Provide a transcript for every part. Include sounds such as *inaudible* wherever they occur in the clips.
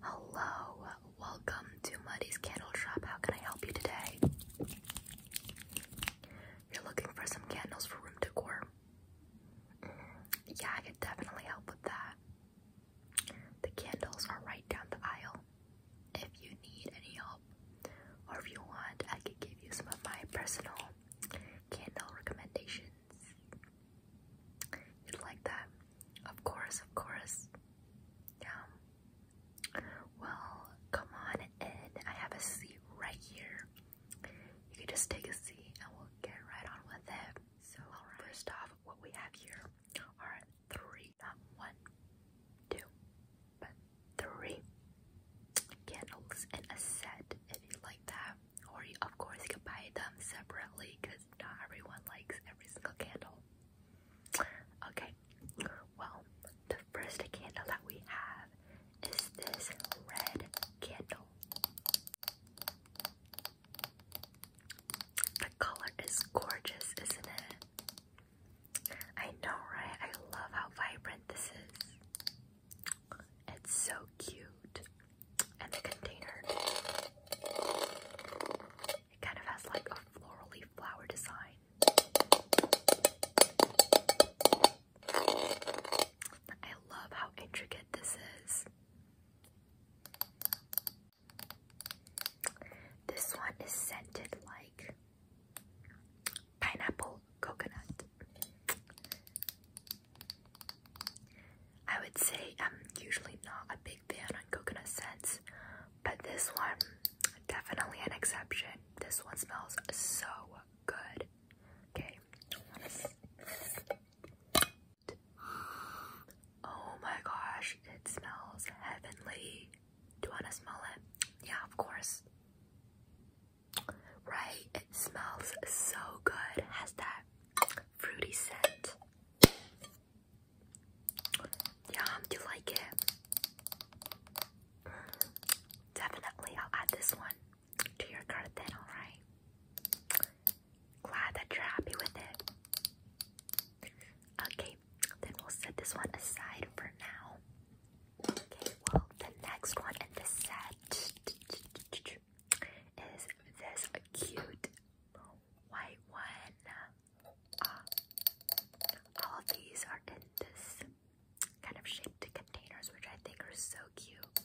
Hello, welcome to Muddy's Candle Shop. How can I help you today? You're looking for some candles for room decor? Yeah, I could definitely help with that. The candles are right down the aisle. If you need any help, or if you want, I could give you some of my personal candle recommendations. You'd like that? Of course, of course. Yeah. Well, come on in. I have a seat right here. You can just take a seat and we'll get right on with it. So, first off, what we have here are three, not one, two, but three candles in a set if you like that. Or, of course, you can buy them separately because not everyone likes every single candle. Okay, well, the first candle that we have is this red candle. The color is gorgeous, isn't it? I know, right? I love how vibrant this is. It's so cute and the container. It kind of has like a floral leaf flower design. I love how intricate this is. This one is scented like pineapple coconut. I would say I'm usually not a big fan on coconut scents, but this one definitely an exception. This one smells so good. Okay. Oh my gosh, it smells heavenly. Do you want to smell it? Yeah, of course. Right, it smells so good. Has that fruity scent. Yum, do you like it? Definitely, I'll add this one to your garden, alright? Glad that you're happy with it. Okay, then we'll set this one aside for now. Okay, well, the next one in this set is this cute white one. Uh, all of these are in this kind of shaped containers, which I think are so cute.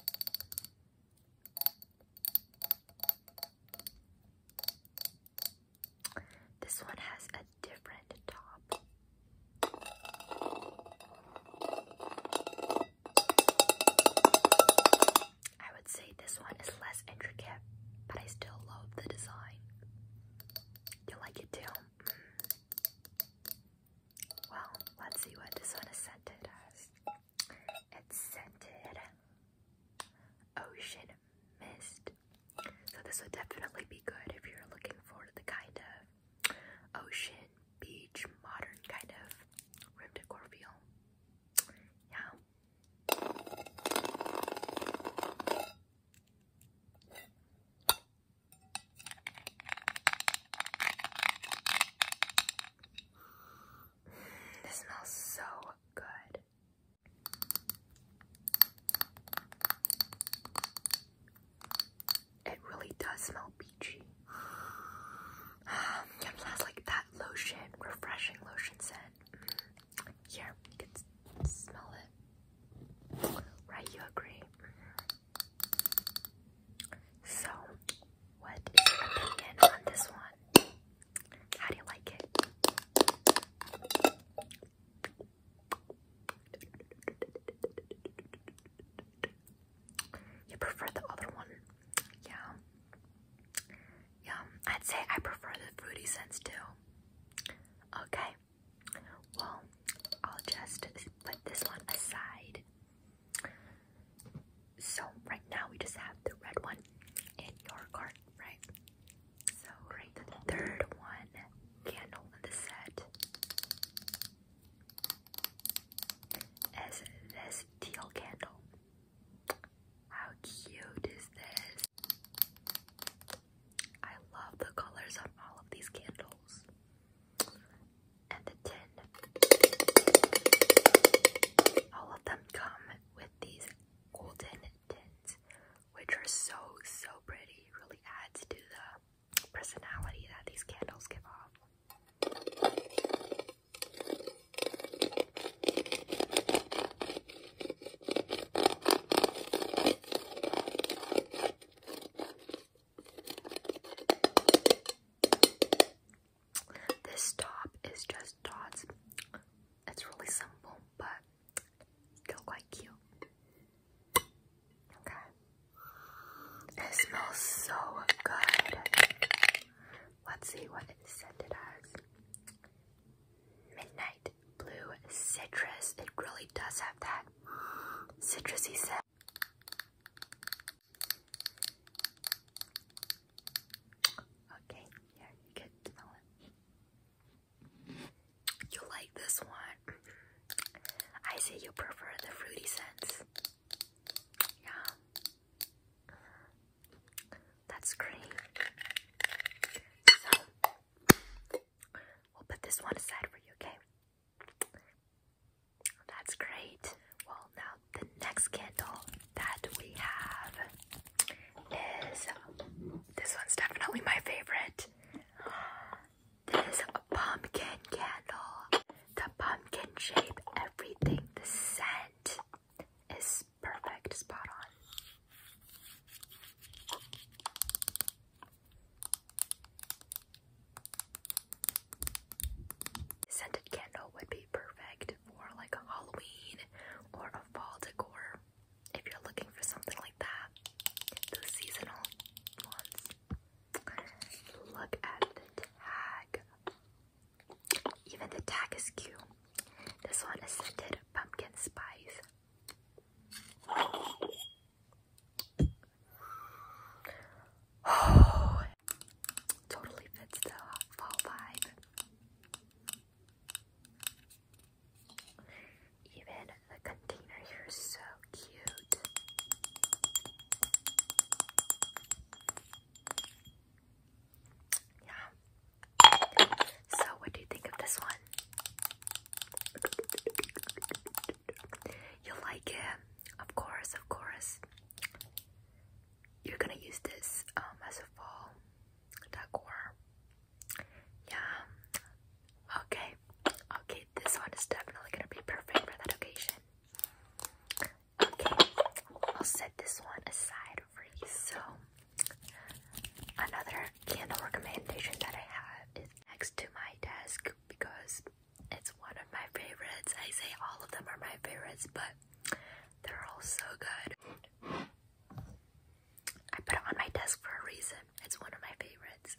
This one has a different top. I would say this one is less intricate, but I still love the design. You like it too? Well, let's see what this one is scented as. It's scented ocean mist. So this would definitely be good if you're looking for the kind of ocean, beach, modern kind of room decor feel. Yeah. This smells so good. It really does smell peachy. it smells *sighs* like that lotion, refreshing lotion scent. Mm. Here, you can smell it. Right, you agree? So, what is opinion on this one? How do you like it? You prefer the other one? Yeah. Yum. I'd say I prefer the fruity scents too. Okay. Well, I'll just put this one aside. So right now we just have the red one in your cart, right? So the third one candle in the set is this teal candle. How cute is this? I love the colors on all of these candles. And the tin. All of them come with these golden tins, which are so, so pretty. really adds to the personality that these candles give off. This top is just dots. It's really simple, but still quite cute. Okay. It smells so good. Let's see what it scented as. Midnight blue citrus. It really does have that citrusy scent. Okay, yeah, you can smell it. You like this one? I say you prefer the fruity scents. Yeah. That's green. So we'll put this one aside for you, okay? That's great. Well, now the next candle that we have is this one's definitely my favorite. This pumpkin candle. The pumpkin shape, everything, the scent is perfect, spot on. Scented candle would be perfect for like a Halloween or a fall decor if you're looking for something like that. The seasonal ones. Look at the tag. Even the tag is cute. This one is scented pumpkin spice. Oh, *sighs* totally fits the fall vibe. Even the container here is so cute. Yeah, so, what do you think of this one? You like it? Of course, of course. You're gonna use this um, as a fall decor. Yeah. Okay. Okay, this one is definitely gonna be perfect for that occasion. Okay, I'll set this one aside for you. So, Another candle recommendation that I have is next to my desk because it's one of my favorites. I say all of them are my favorites, but they're all so good. I put it on my desk for a reason. It's one of my favorites.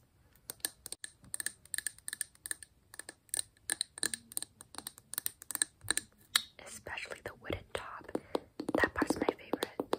Especially the wooden top. That part's my favorite.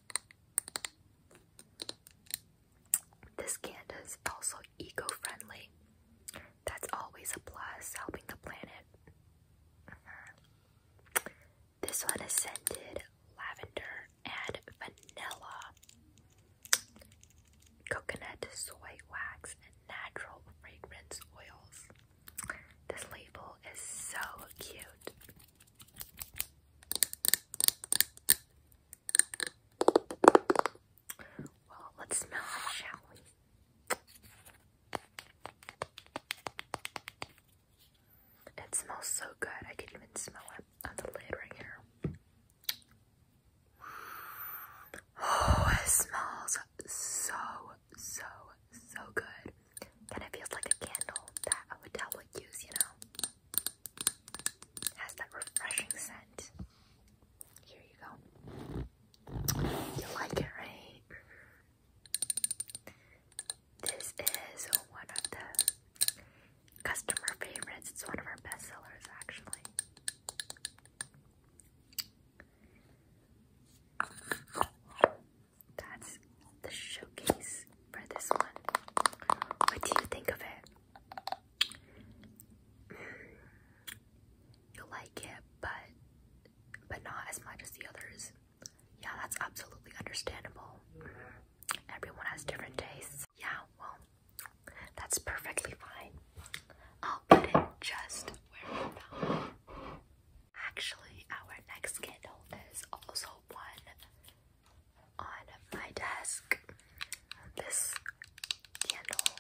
This candle is also eco-friendly. That's always a plus, helping the planet. Mm-hmm. This one is scented lavender and vanilla. Coconut, soy wax, and natural fragrance oils. This label is so cute. Well, let's smell it, shall we? It smells so good. I can even smell it on the lid right here. Oh, it smells so, so, so good. Kind of feels like a candle that I would would use, you know? Has that refreshing scent. Here you go. You like it, right? This is one of the customer favorites. It's one of our best actually. That's the showcase for this one. What do you think of it? you will like it, but but not as much as the others. Yeah, that's absolutely understandable. Everyone has different tastes. Yeah, well, that's perfectly fine. I'll put it just where I found it. Actually, our next candle is also one on my desk this candle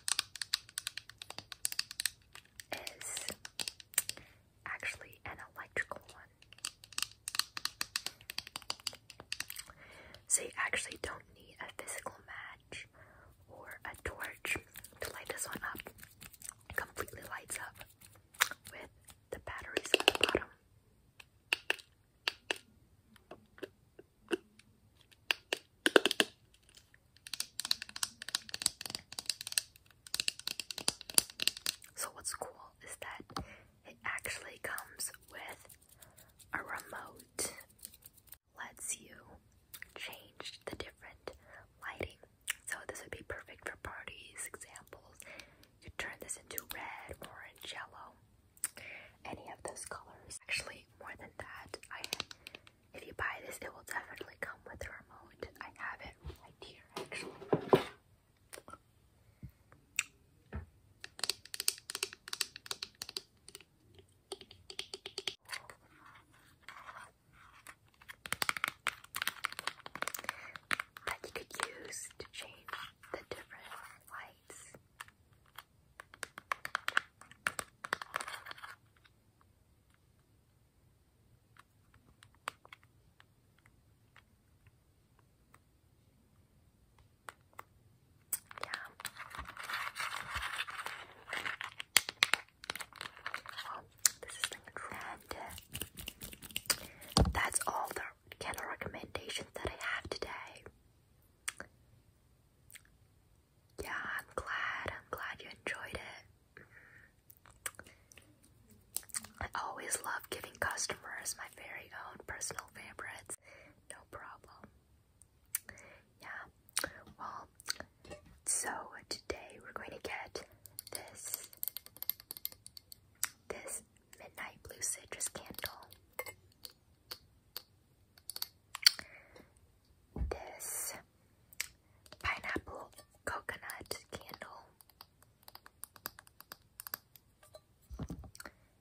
is actually an electrical one. So you actually don't need a physical match or a torch to light this one up. It completely lights up with the batteries at the bottom. So, what's cool is that it actually comes with a remote, lets you change the different lighting. So, this would be perfect for parties, examples. You turn this into red, orange, yellow any of those colors. Actually, more than that, I if you buy this, it will definitely come with the remote. I have it right here, actually. That you could use to change the different light yeah. Well, this is like a That's all the candle recommendations that I have today. Yeah, I'm glad. I'm glad you enjoyed it. I always love giving customers my very own personal favorites. No problem. Yeah. Well, so today we're going to get this this midnight blue citrus candle this pineapple coconut candle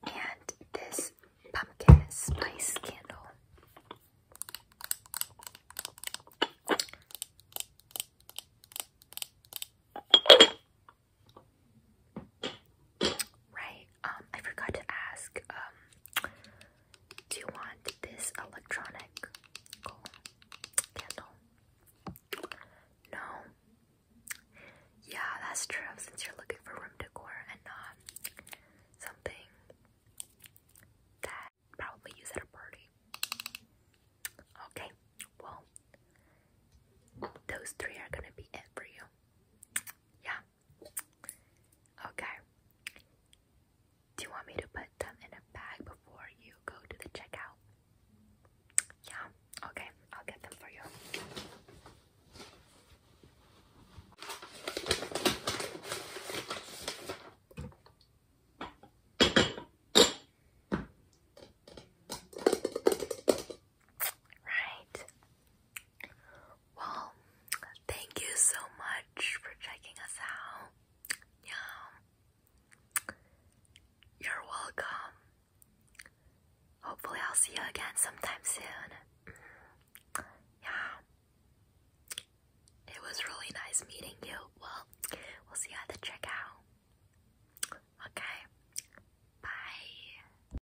and this pumpkin spice candle. Right, um, I forgot to ask, um, do you want this electronic candle? No? Yeah, that's true, since you're looking for room decor and not something that probably use at a party. Okay, well, those three are gonna be it for you. Yeah. Okay. Do you want me to put them in a bag before you go to the checkout? Yeah, okay, I'll get them for you. Right. Well, thank you so much for checking us out. Yeah. You're welcome. Hopefully, I'll see you again sometime soon. Mm-hmm. Yeah. It was really nice meeting you. Well, we'll see at the checkout. Okay. Bye.